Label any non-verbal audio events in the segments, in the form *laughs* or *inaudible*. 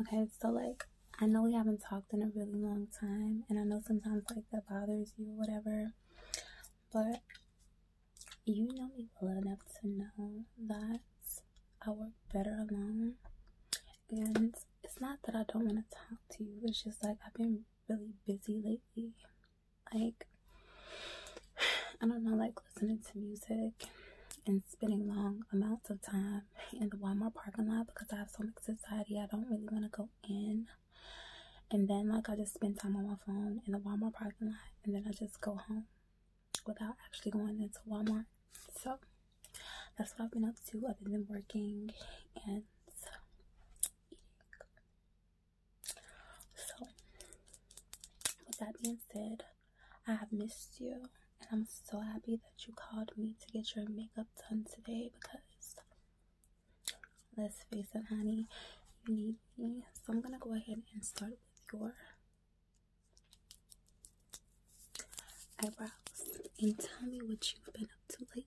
Okay, so like I know we haven't talked in a really long time, and I know sometimes like that bothers you or whatever, but you know me well enough to know that I work better alone. And it's not that I don't want to talk to you, it's just like I've been really busy lately. Like, *sighs* I don't know, like listening to music and spending long amounts of time in the Walmart parking lot because I have so much anxiety. I don't really want to go in. And then, like, I just spend time on my phone in the Walmart parking lot. And then I just go home without actually going into Walmart. So, that's what I've been up to other than working and eating. So, with that being said, I have missed you, and I'm so happy that you called me to get your makeup done today because let's face it, honey, you need me. So I'm gonna go ahead and start with your eyebrows and tell me what you've been up to lately.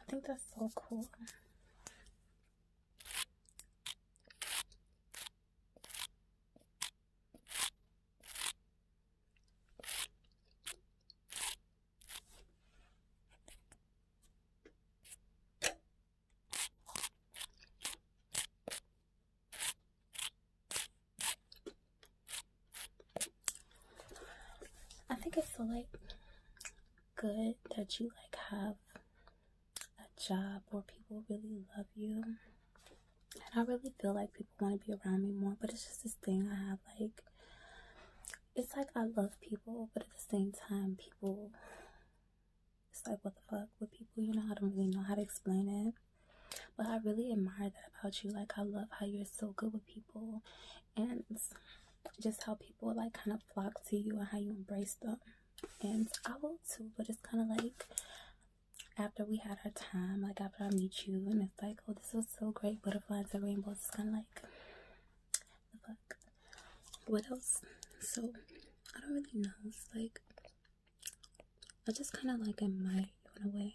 I think that's so cool. I think it's so like good that you like have a job where people really love you. And I really feel like people want to be around me more, but it's just this thing I have like it's like I love people, but at the same time people it's like what the fuck with people, you know, I don't really know how to explain it. But I really admire that about you. Like I love how you're so good with people and just how people like kind of flock to you and how you embrace them and I will too, but it's kind of like after we had our time, like after I meet you, and it's like, oh, this was so great, butterflies and rainbows. It's kind of like, the fuck. What else? So I don't really know. It's like I just kind of like I might go away.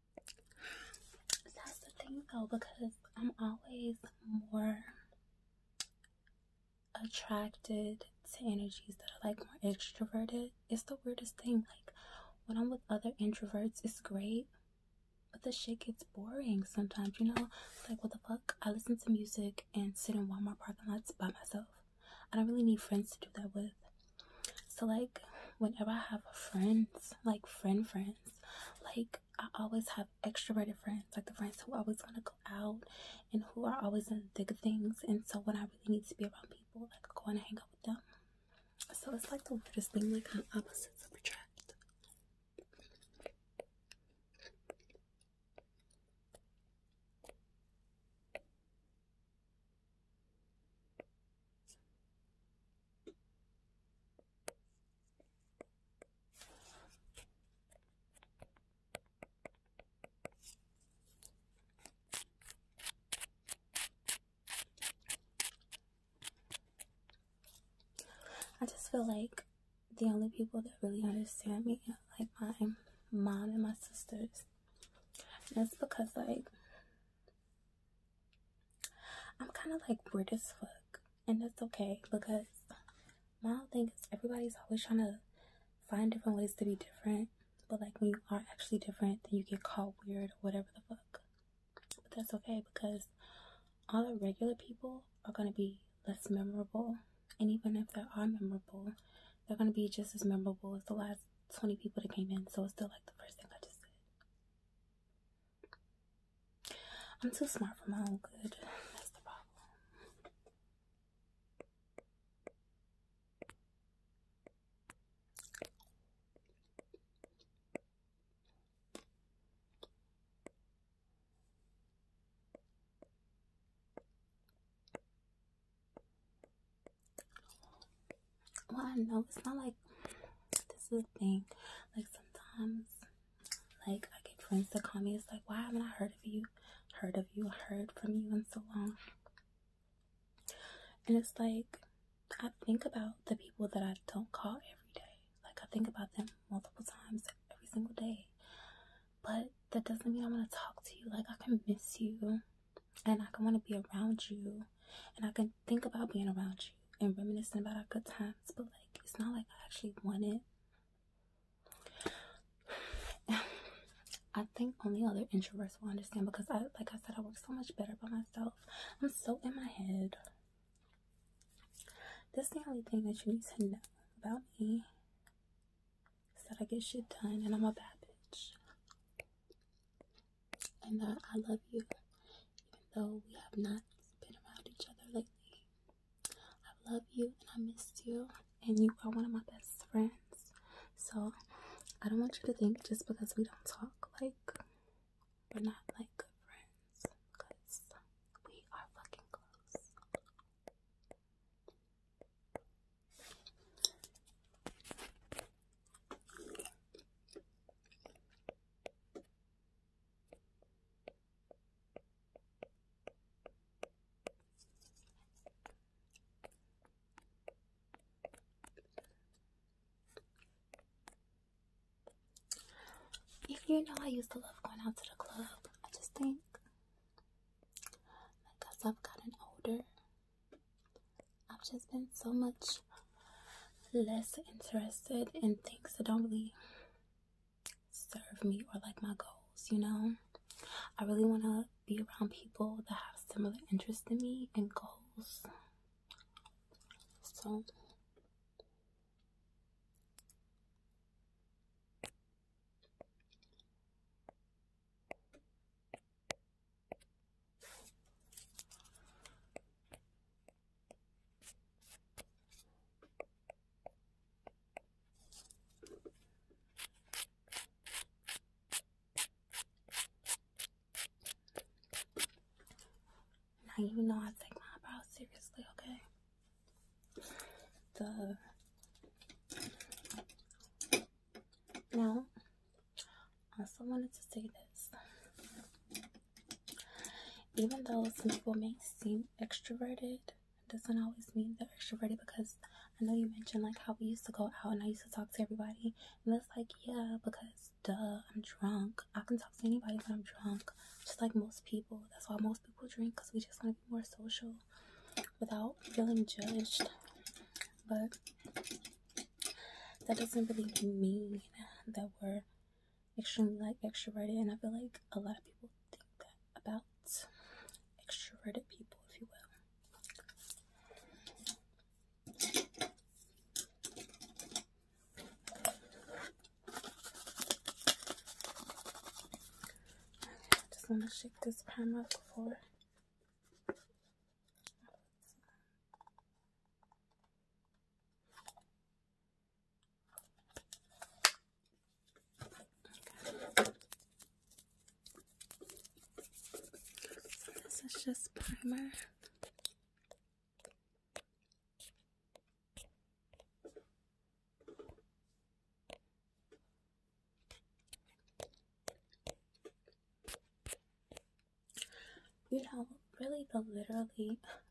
That's the thing though, because I'm always more attracted to energies that are like more extroverted. It's the weirdest thing. Like when I'm with other introverts, it's great, but the shit gets boring sometimes, you know? Like, what the fuck? I listen to music and sit in Walmart parking lots by myself. I don't really need friends to do that with. So like whenever I have friends, like friend friends, like I always have extroverted friends, like the friends who always want to go out and who are always in the thick of things. And so when I really need to be around people, like I go and hang out with them. So it's like the weirdest thing, like opposites attract. I just feel like the only people that really understand me are like my mom and my sisters. And that's because like I'm kind of like weird as fuck, and that's okay because my whole thing is everybody's always trying to find different ways to be different, but like when you are actually different, then you get called weird or whatever the fuck. But that's okay because all the regular people are gonna be less memorable, and even if they are memorable, they're gonna be just as memorable as the last 20 people that came in, so it's still like the first thing I just said. I'm too smart for my own good. That's the problem. Well, I know it's not like this is a thing. Like sometimes, like I get friends to call me. It's like, why haven't I heard of you? Heard of you? Heard from you in so long? And it's like I think about the people that I don't call every day. Like I think about them multiple times every single day. But that doesn't mean I want to talk to you. Like I can miss you and I can want to be around you, and I can think about being around you and reminiscing about our good times. But like, it's not like I actually want it. *sighs* I think only other introverts will understand because I, like I said, I work so much better by myself. I'm so in my head. That's the only thing that you need to know about me is that I get shit done and I'm a bad bitch and that uh, I love you, even though we have not been around each other lately. I love you and I miss you, and you are one of my best friends. So I don't want you to think just because we don't talk, like we're not like good friends, because we are fucking close. If You know, I used to love going out to the club. I just think, like, as I've gotten older, I've just been so much less interested in things that don't really serve me or like my goals, you know? I really want to be around people that have similar interests in me and goals. So. Now you know I take my eyebrows seriously, okay? The now also wanted to say this. Even though some people may seem extroverted, doesn't always mean they're extroverted because I know you mentioned like how we used to go out and I used to talk to everybody. And it's like, yeah, because duh, I'm drunk. I can talk to anybody when I'm drunk, just like most people. That's why most people drink because we just want to be more social without feeling judged. But that doesn't really mean that we're extremely like extroverted and i feel like a lot of people think that about extroverted people if you will okay, i just want to shake this prime before this is just primer. You know, really the literally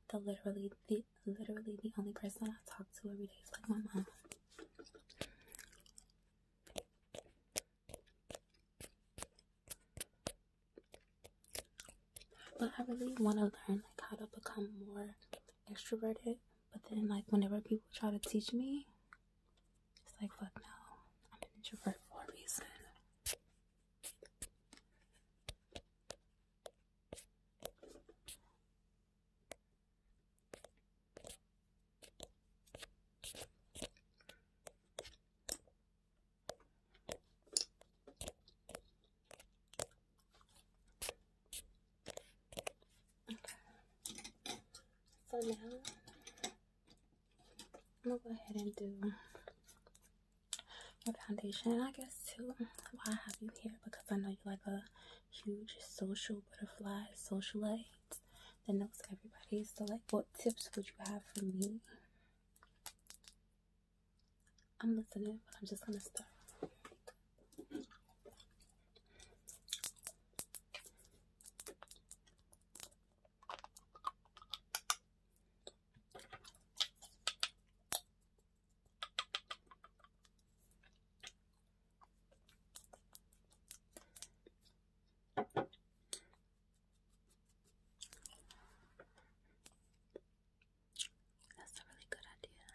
the literally the literally the only person I talk to every day is like my mom. But I really want to learn like how to become more extroverted. But then like whenever people try to teach me, it's like, fuck no. I'm an introvert for a reason. Okay. So now I'm gonna go ahead and do my foundation. I guess too, why I have you here because I know you're like a huge social butterfly, socialite that knows everybody. So, like, what tips would you have for me? I'm listening, but I'm just gonna start. That's a really good idea.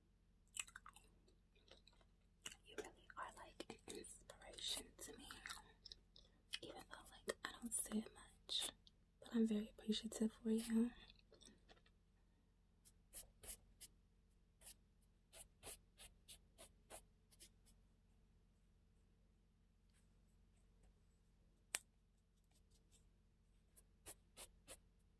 You really are like inspiration to me. Even though like I don't say it much, but I'm very appreciative for you.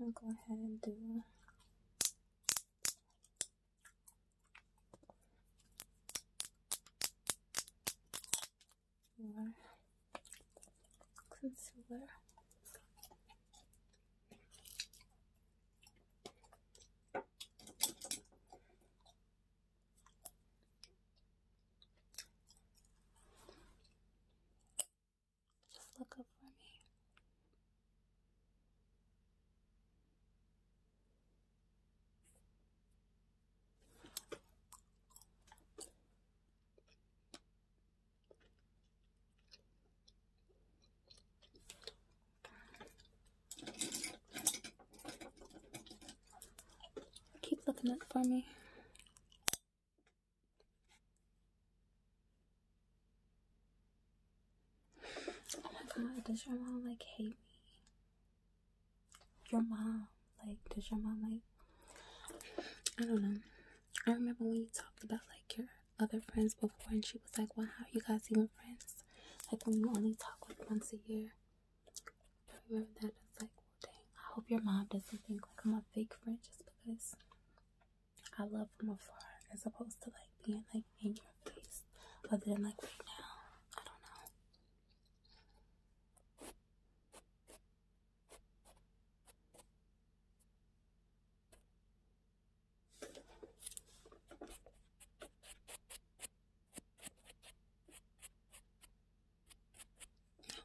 I'll go ahead and do more concealer. Just look up for me. Keep looking up for me. Oh my god, does your mom like hate me? Your mom, like, does your mom like? I don't know. I remember when you talked about like your other friends before, and she was like, "Well, are you guys even friends? Like when you only talk like once a year." I remember that. I like, dang. I hope your mom doesn't think like I'm a fake friend just because I love from afar as opposed to like being like in your face. But then, like right now, I don't know.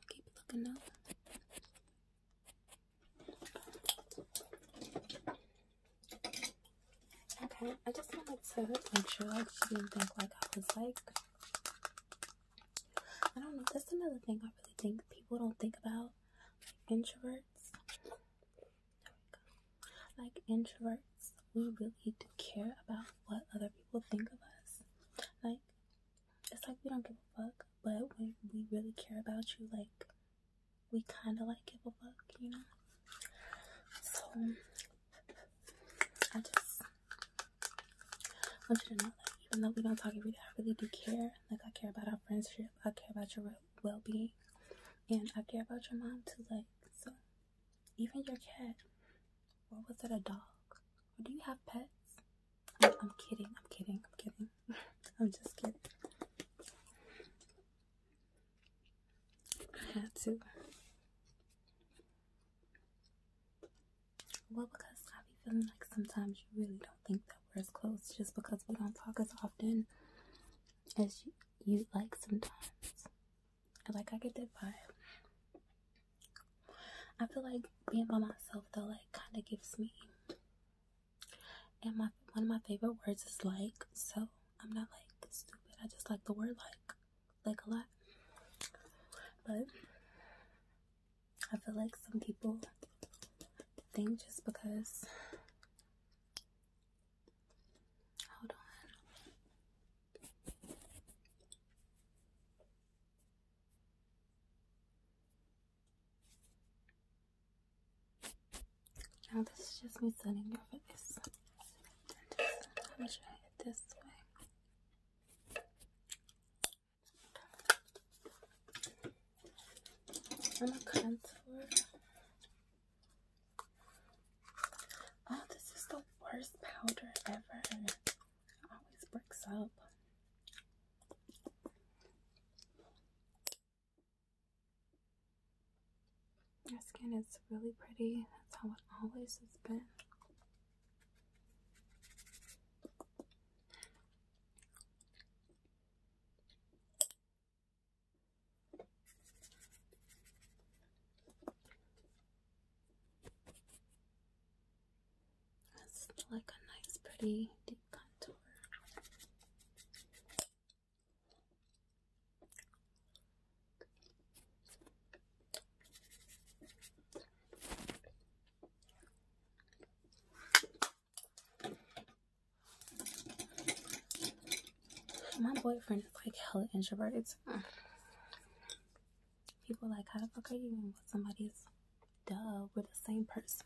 keep looking up. Okay, I just wanted to make sure like she didn't think like I was like I don't know, that's another thing I really think people don't think about. Like introverts. Like introverts, we really do care about what other people think of us. Like it's like we don't give a fuck, but when we really care about you, like we kind of like give a fuck, you know. So I just want you to know, that even though we don't talk every day, I really do care. Like I care about our friendship, I care about your well-being, and I care about your mom too. Like so, even your cat, or was it a dog? do you have pets? I'm, kidding. I'm kidding. I'm kidding. *laughs* I'm just kidding. I had to. Well, because I be feeling like sometimes you really don't think that we're as close just because we don't talk as often as you, you like sometimes. I like I get that vibe. I feel like being by myself though like kind of gives me and my one of my favorite words is like, so I'm not like stupid. I just like the word like, like a lot. But I feel like some people think just because. Hold on. Now this is just me setting your face. I'm gonna contour. Oh, this is the worst powder ever. It always breaks up. Your skin is really pretty. That's how it always has been. That's like a nice, pretty deep contour. My boyfriend is like hella introverted. People like, how the fuck are you with somebody's duh, we're the same person.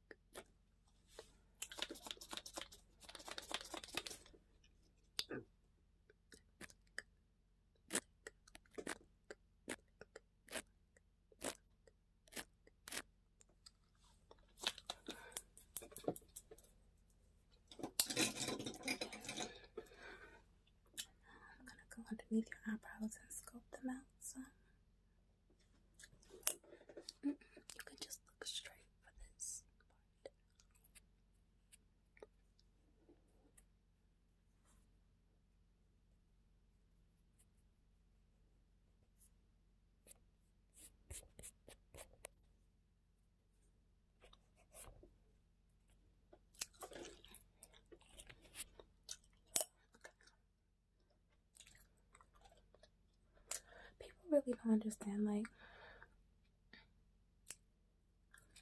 I'm gonna go underneath your eyebrows and sculpt them out Mm you can just look straight for this part. People really don't understand, like,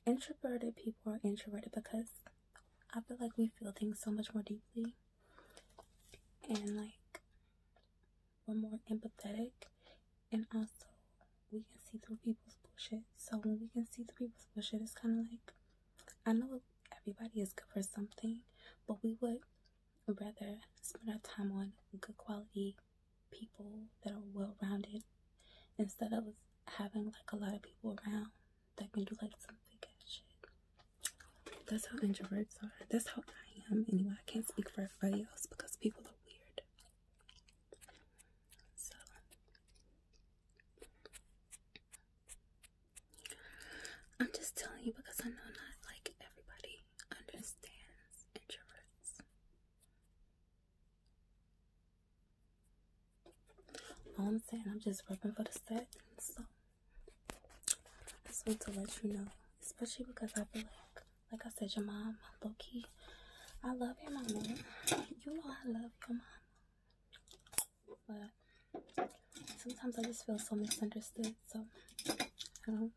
introverted people are introverted because I feel like we feel things so much more deeply and like we're more empathetic and also we can see through people's bullshit. So when we can see through people's bullshit, it's kind of like I know everybody is good for something, but we would rather spend our time on good quality people that are well rounded instead of having like a lot of people around that can do like some big ass shit. That's how introverts are. That's how I am. Anyway, I can't speak for everybody else because people are weird. So I'm just telling you because I know not like everybody understands introverts. All I'm saying, I'm just rubbing for the set, so I just want to let you know, especially because I feel like, like I said, your mom, low key, I love your mom. You know I love your mom, but Sometimes I just feel so misunderstood, so I don't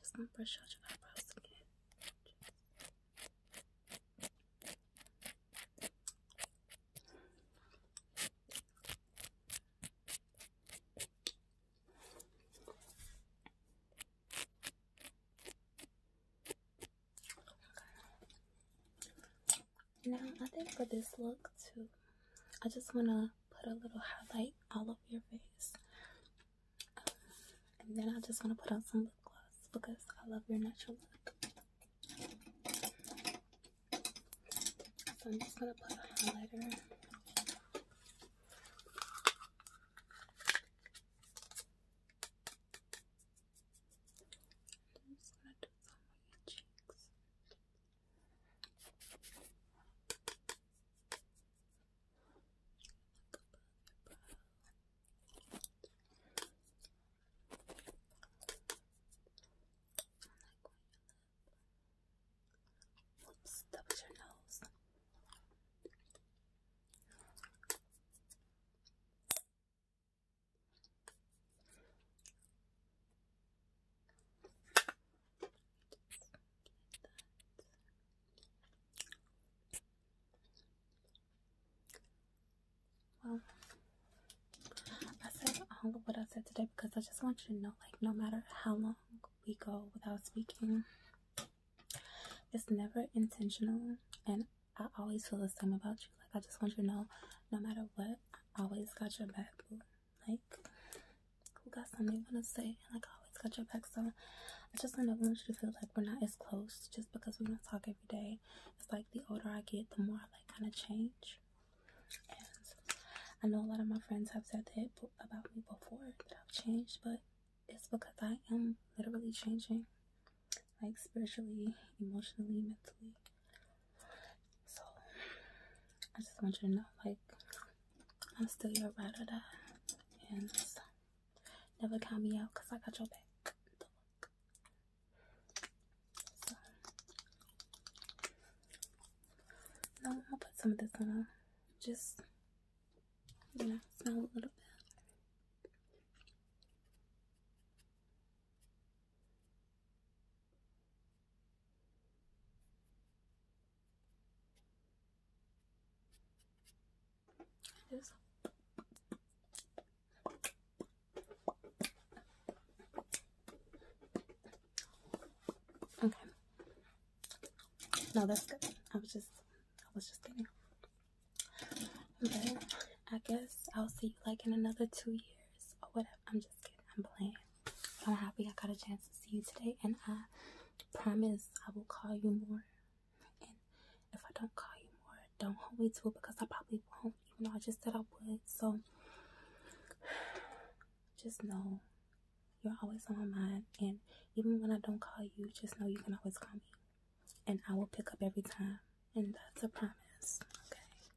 just gonna brush out your eyebrows again. Now I think for this look too, I just wanna put a little highlight all over your face, um, and then I just wanna put on some lip gloss because I love your natural look. So I'm just gonna put a highlighter. I'm just gonna do some on your cheeks. Whoops, that was your nose. Well, I said all of what I said today because I just want you to know, like, no matter how long we go without speaking, it's never intentional, and I always feel the same about you. Like, I just want you to know, no matter what, I always got your back. Like, who got something you want to say? And like, I always got your back. So I just kind of want you to feel like we're not as close just because we don't talk every day. It's like the older I get, the more I like kind of change. And I know a lot of my friends have said that about me before that I've changed, but it's because I am literally changing, like spiritually, emotionally, mentally. So I just want you to know, like, I'm still your ride and never count me out, cause I got your back. So now I'll put some of this on, just you know, smell a little bit. There's Okay. No, that's good. I was just I was just thinking. Okay. I guess I'll see you like in another two years or whatever. I'm I'm just playing. I'm happy I got a chance to see you today, and I promise I will call you more. And if I don't call you more, don't hold me to it because I probably won't, even though I just said I would. So just know you're always on my mind, and even when I don't call you, just know you can always call me, and I will pick up every time. And that's a promise, okay?